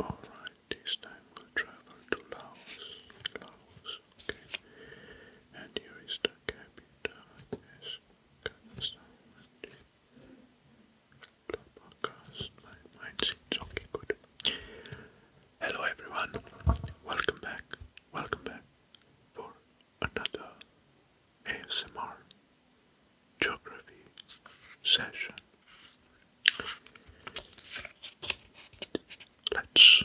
Alright, this time we'll travel to Laos. Laos, okay. And here is the capital, yes, Kazakhstan. Podcast. My mind okay, good. Hello everyone, welcome back, welcome back for another ASMR geography session. Let's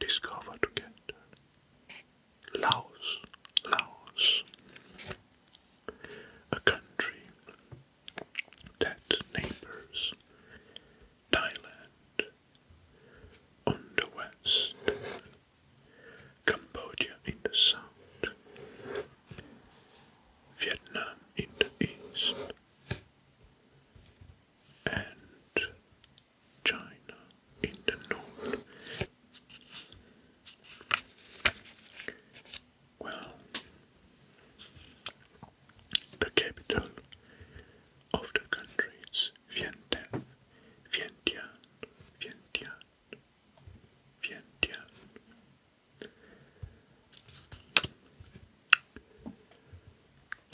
discover together Laos, Laos, a country that neighbors Thailand on the west, Cambodia in the south, Vietnam in the east, and China in the north. Well, the capital of the country is Vientiane, Vientiane, Vientiane, Vientiane,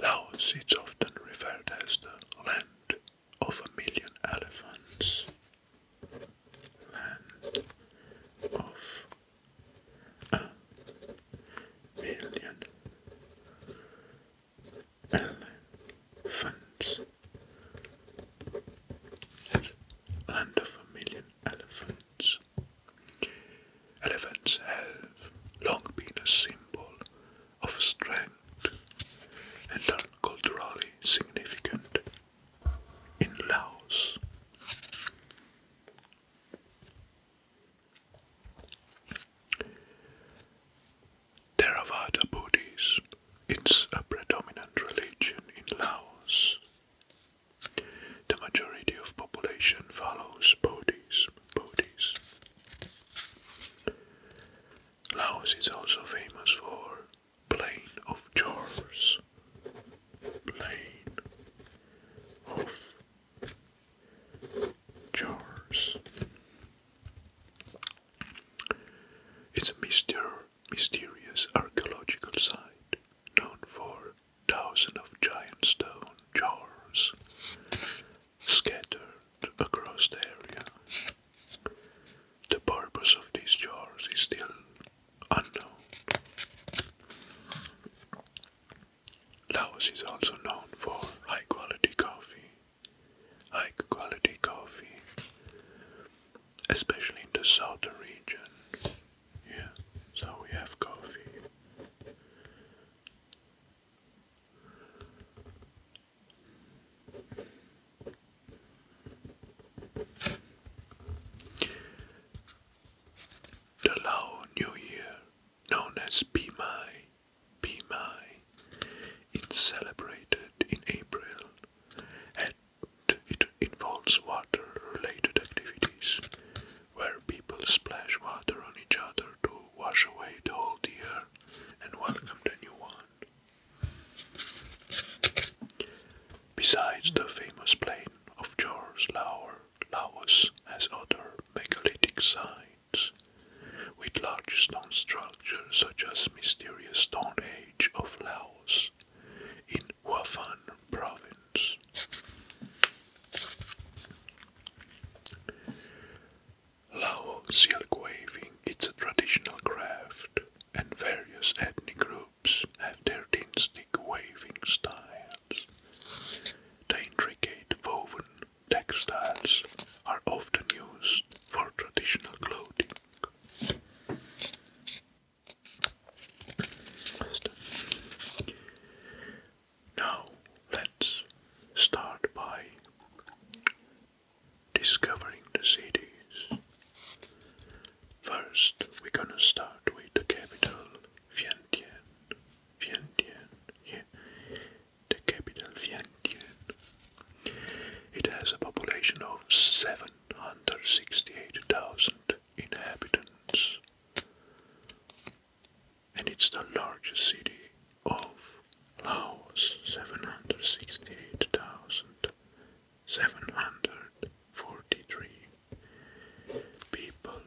Laos is often referred as the land of a million elephants. Land of a million elephants land of a million elephants. Elephants have long been a symbol of strength and are culturally significant in Laos. Theravada Buddhism. It's a predominant religion in Laos. The majority of population follows Buddhism. Buddhism. Laos is also famous for Plain of Jars. Plain of Jars. It's a mystery mysterious archaeological site known for thousands of giant stone jars scattered across the area. The purpose of these jars is still unknown. Laos is also known for high quality coffee. High quality coffee especially in the southern region. Yeah, so we have coffee. The Lao New Year, known as Pi Mai, Pi celebrated in April it involves water-related activities, where people splash water on each other to wash away the old year and welcome the new one. Besides the famous plain of George Laur, Laos has other megalithic sites with large stone structures such as mysterious Stone Age of Laos in Wafan province. Lao silk waving is a traditional craft, and various ethnic groups have their distinctive waving styles. The intricate woven textiles are often used for traditional clothing. Now, let's start by discovering the cities. First, we're gonna start with the capital, Vientiane. Vientiane, yeah. The capital, Vientiane. It has a population of 7 hundred sixty-eight thousand inhabitants, and it's the largest city of Laos, seven hundred sixty-eight thousand seven hundred forty-three people.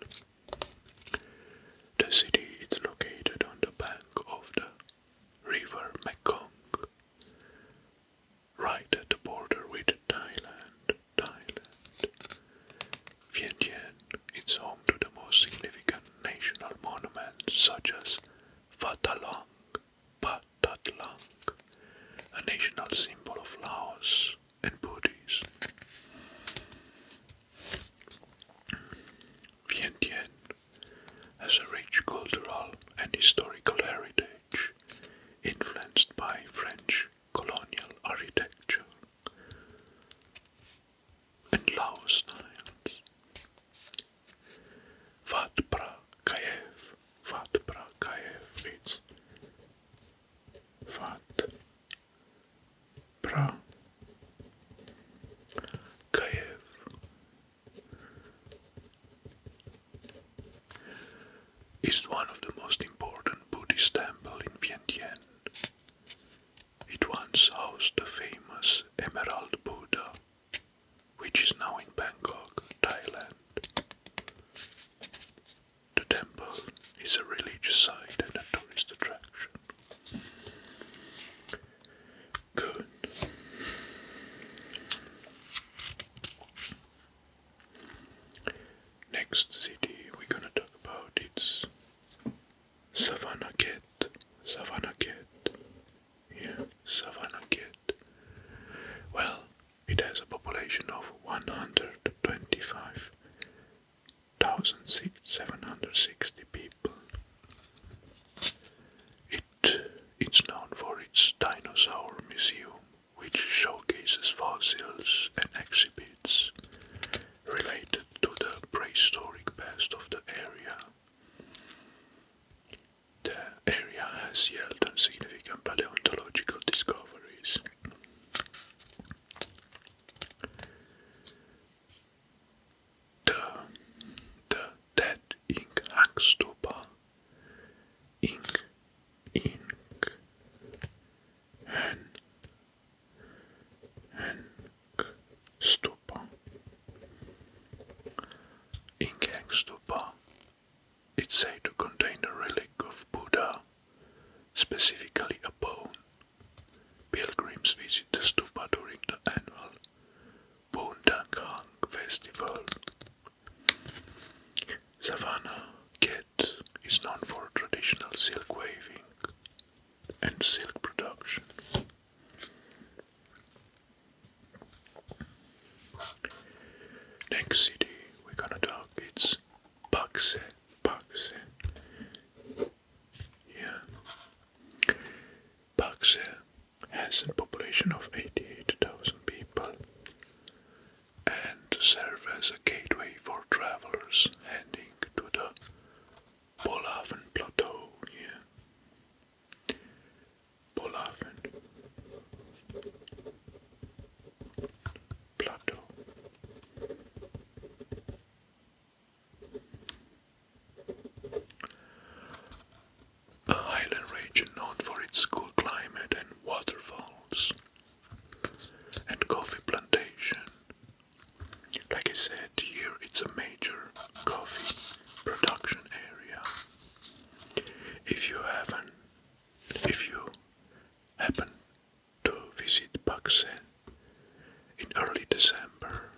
The city is located on the bank of the river Mekong right at the border with Thailand. Thailand. Vientiane is home to the most significant national monuments such as Phatalong, Patatlang, a national symbol of Laos and Buddhists. Vientiane has a rich cultural and historical heritage, influenced by French colonial architecture and Laos styles. Vat Prakayev, Vat Prakayev, Vat Prakayev, is one of the most important Buddhist temples in Vientiane. It once housed the famous Emerald Buddha, which is now in Bangkok, Thailand. The temple is a religious site and a tourist attraction. Good. Next city we're gonna talk about it's Savannah Cat. Savannah Yeah, Savannah Well, it has a population of 125,760 people shape. It is known for its dinosaur museum, which showcases fossils and exhibits related to the prehistoric past of the area. The area has yielded significant paleontological discoveries. The de, that, ink, hakstopa, ink, ink, hen, hen, stopa, It's said to contain the relic of Buddha, specifically a bone. Pilgrims visit the stupa during the annual Bundakang Festival. Savannah Cat is known for traditional silk weaving and silk production. Next city we're gonna talk it's Pakse, Pakse. Yeah. Pakse has a population of 88,000 people and serve as a gateway for travelers heading to the Polaven Plateau here. Polaven Plateau. A highland region known for its cool climate and waterfalls and coffee plantation. Like I said, here it's a major coffee production area. If you haven't, if you happen to visit Pakse in early December,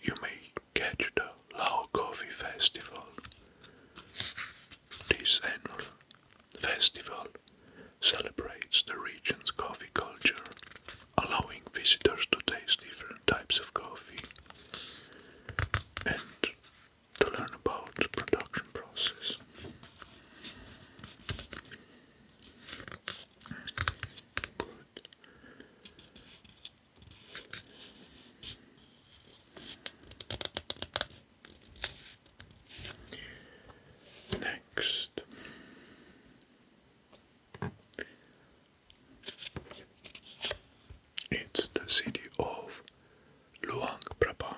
you may catch the Lao Coffee Festival. This annual festival celebrates the region's coffee culture, allowing visitors to taste different types of coffee and to learn about the production process. Next, it's the city of Luang Prabang.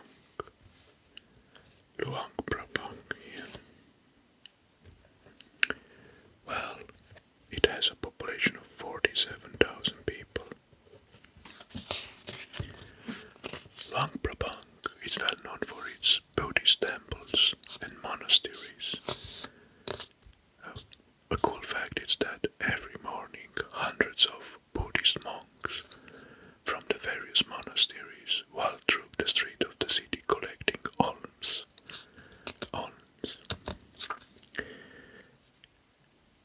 Luang Prabang here. Well, it has a population of 47,000 people. Luang Prabang is well known for its Buddhist temples and monasteries. a cool fact is that every morning hundreds of Buddhist monks from the various monasteries walk through the street of the city collecting alms. Alms.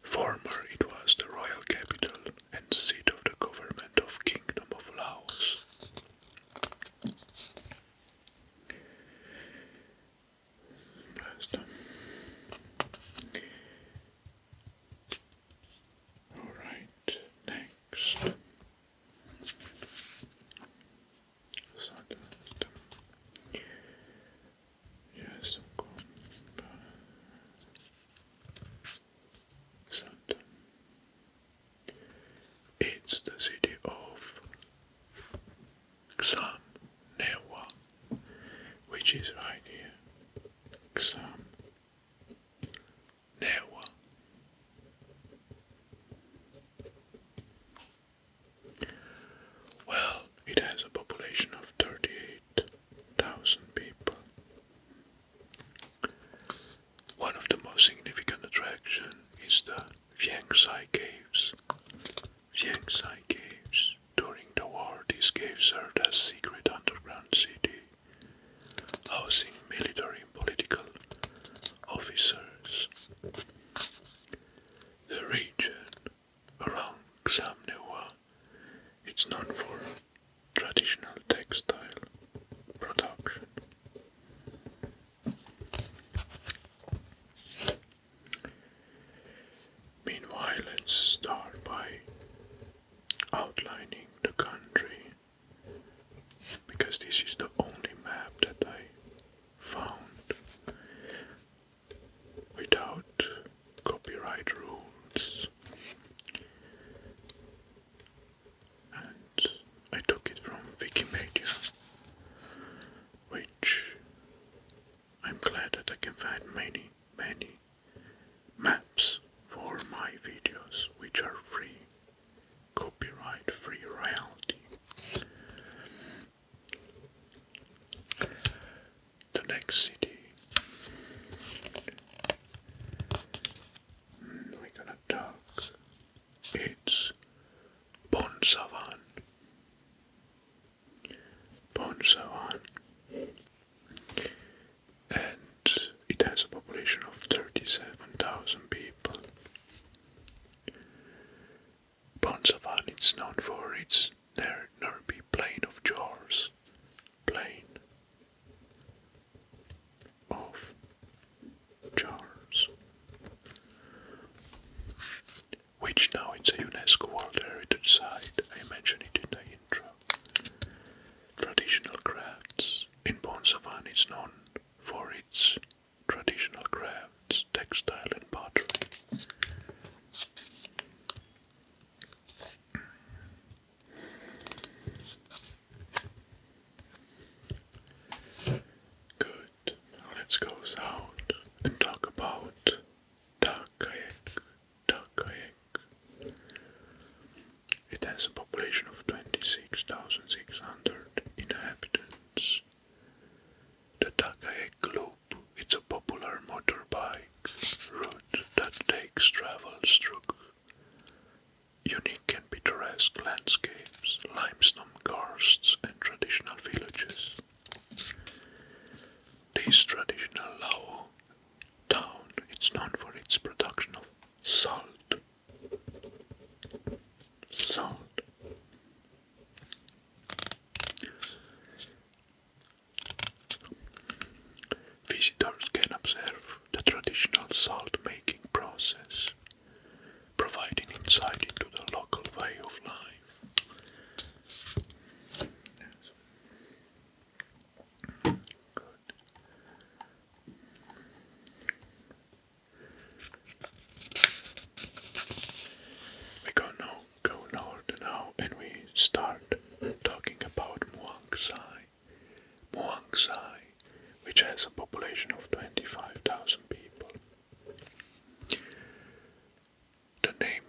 Former it was the royal capital and seat of the government of Kingdom of Laos. All right, next. Yes, of course. It's the city of Xam Newa, which is right here. Xam Newa. Well, it has a population of 38,000 people. One of the most significant attractions is the Viangsai Caves. Viangsai Caves. During the war, these caves served as secret underground city, housing military political officers. The region around Xamnewa is known for traditional textile production. Meanwhile, let's start by outlining the country because this is the only map that I found without copyright rules. And I took it from Wikimedia, which I'm glad that I can find many, many maps for my videos, which are free copyright free royalty. The next city hmm, we're gonna talk it's Bonsavan. Bonsavan. And it has a population of 37,000 people. Bonsavan is known for its Nerby Plain of Jars, Plain of Jars, which now it's a UNESCO World Heritage Site. I mentioned it in the intro. Traditional crafts in Bonsavan is known for its traditional crafts, textile and pottery. Good. let's go south and talk about Takayek. Takayek. It has a population of 26,600 inhabitants. The Takae Loop is a popular motorbike route that takes travels through unique and picturesque landscapes, limestone karsts, and traditional villages. This traditional Lao town is known for its production of salt, Salt. Visitors can observe the traditional salt making process, providing insight into the local way of life. We go now, go now, and we start talking about Muang Sai. Muang Sai, which has a population of 25,000 people. The name,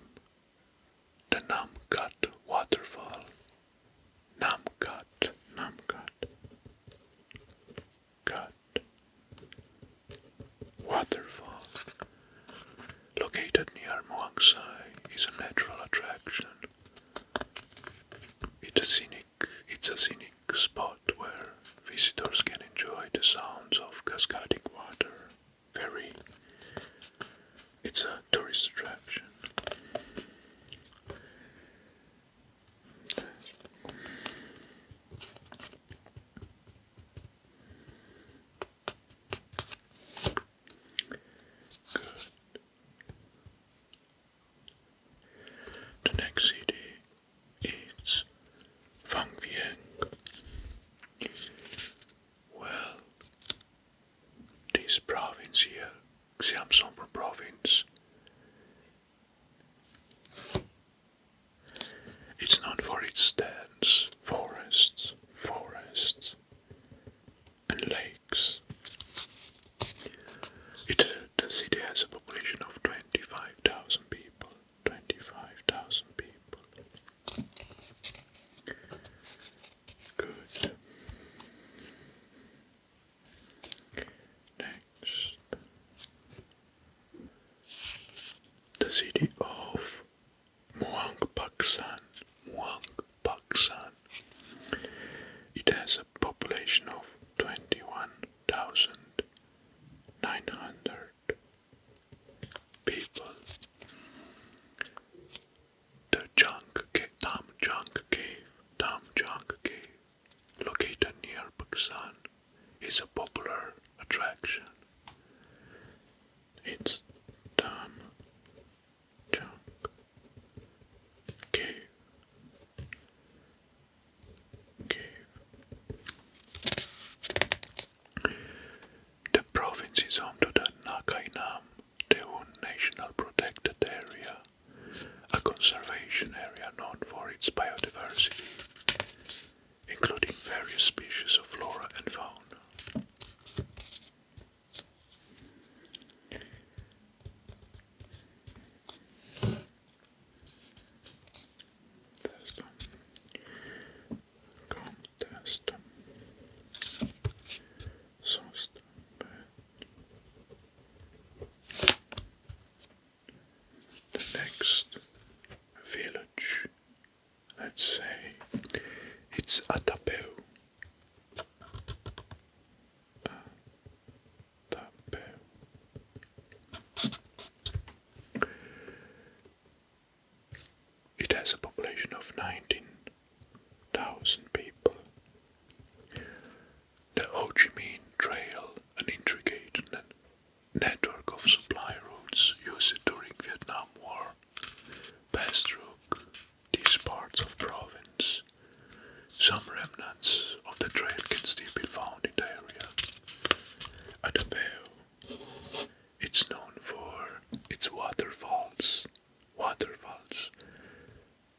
the Nam Namkat waterfall Numcut, numcut, cut, waterfall. Located near Muang Sai, is a natural attraction. It's a scenic, it's a scenic spot where visitors can enjoy the sounds of cascading water. Very, it's a tourist attraction. Good. The next city is Fangvieng. Well, this province here, Xiamsombor province. It's known for its dens, forests, forests, and lakes. It, the city has a population of 25,000 people. 25,000 people. Good the city of Muang Paksan. Muang Paksan. It has a population of 21,900 people. The Junk Cave, Tam Junk Cave, Tam Junk Cave, located near Busan, is a popular attraction. It's Tam Junk Cave. Cave. The province is home to the Nakainam Teon National Protected Area, a conservation area known for its biodiversity, including various species of flora and fauna. Soston The next village, let's say, it's Atapeu. It has a population of nineteen thousand people. The Ho Chi Minh Trail, an intricate network of supply routes used during Vietnam War, passed through these parts of the province. Some remnants of the trail can still be found in the area. At it's known for its waterfalls waterfalls.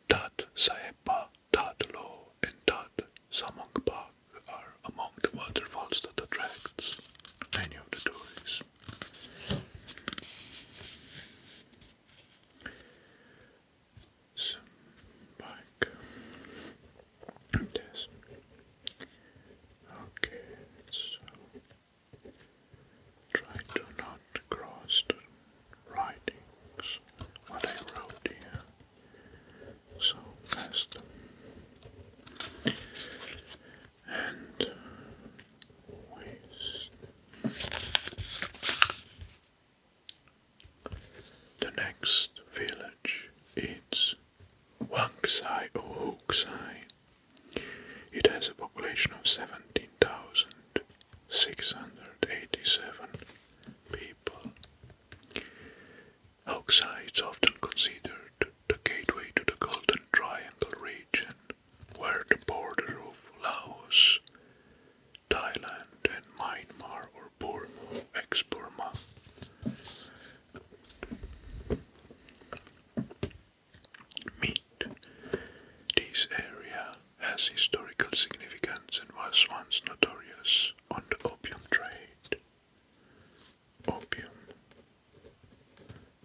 Tat Saepa, Tat Lo, and Tat Samong Park are among the waterfalls that attracts many of the tourists. Okay, so Try to not cross the writings, what I wrote here, so fast. And uh, waste. The next village is Wanksai or Hooksai. It has a population of 17,687 people. Auxa is often considered the gateway to the Golden Triangle region, where the border of Laos, Thailand, and Myanmar or Burma, ex Burma meet. This area has historical significance and was once notorious on the opium trade. Opium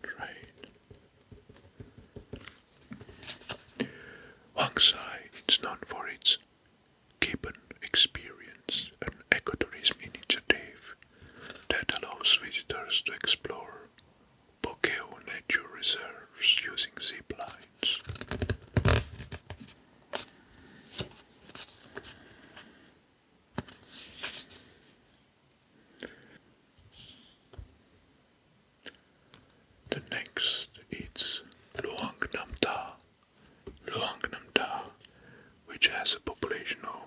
trade. Huangsai is known for its Gibbon experience, an ecotourism initiative that allows visitors to explore Bokeo Nature Reserves using zip lines. The next is Luang Nam Luang Nam which has a population of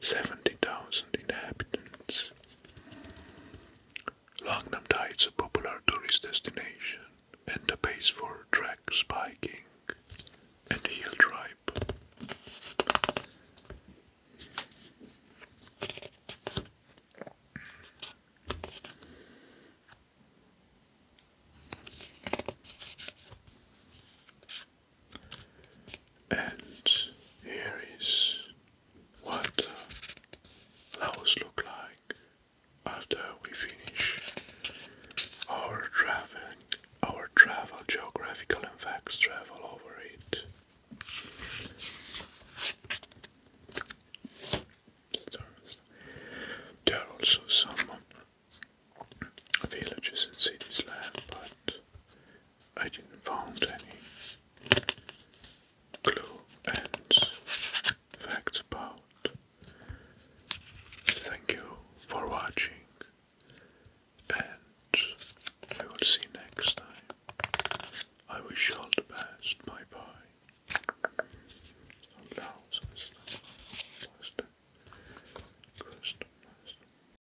70,000 inhabitants. Langnam Thai is a popular tourist destination and a base for track biking and hill tribe. And here is what the look like after we finish our traveling, our travel, geographical facts travel over it. There are also some villages and cities left, but I didn't find any clue and facts about. Thank you for watching, and I will see you next time. I wish you all the best. Bye bye.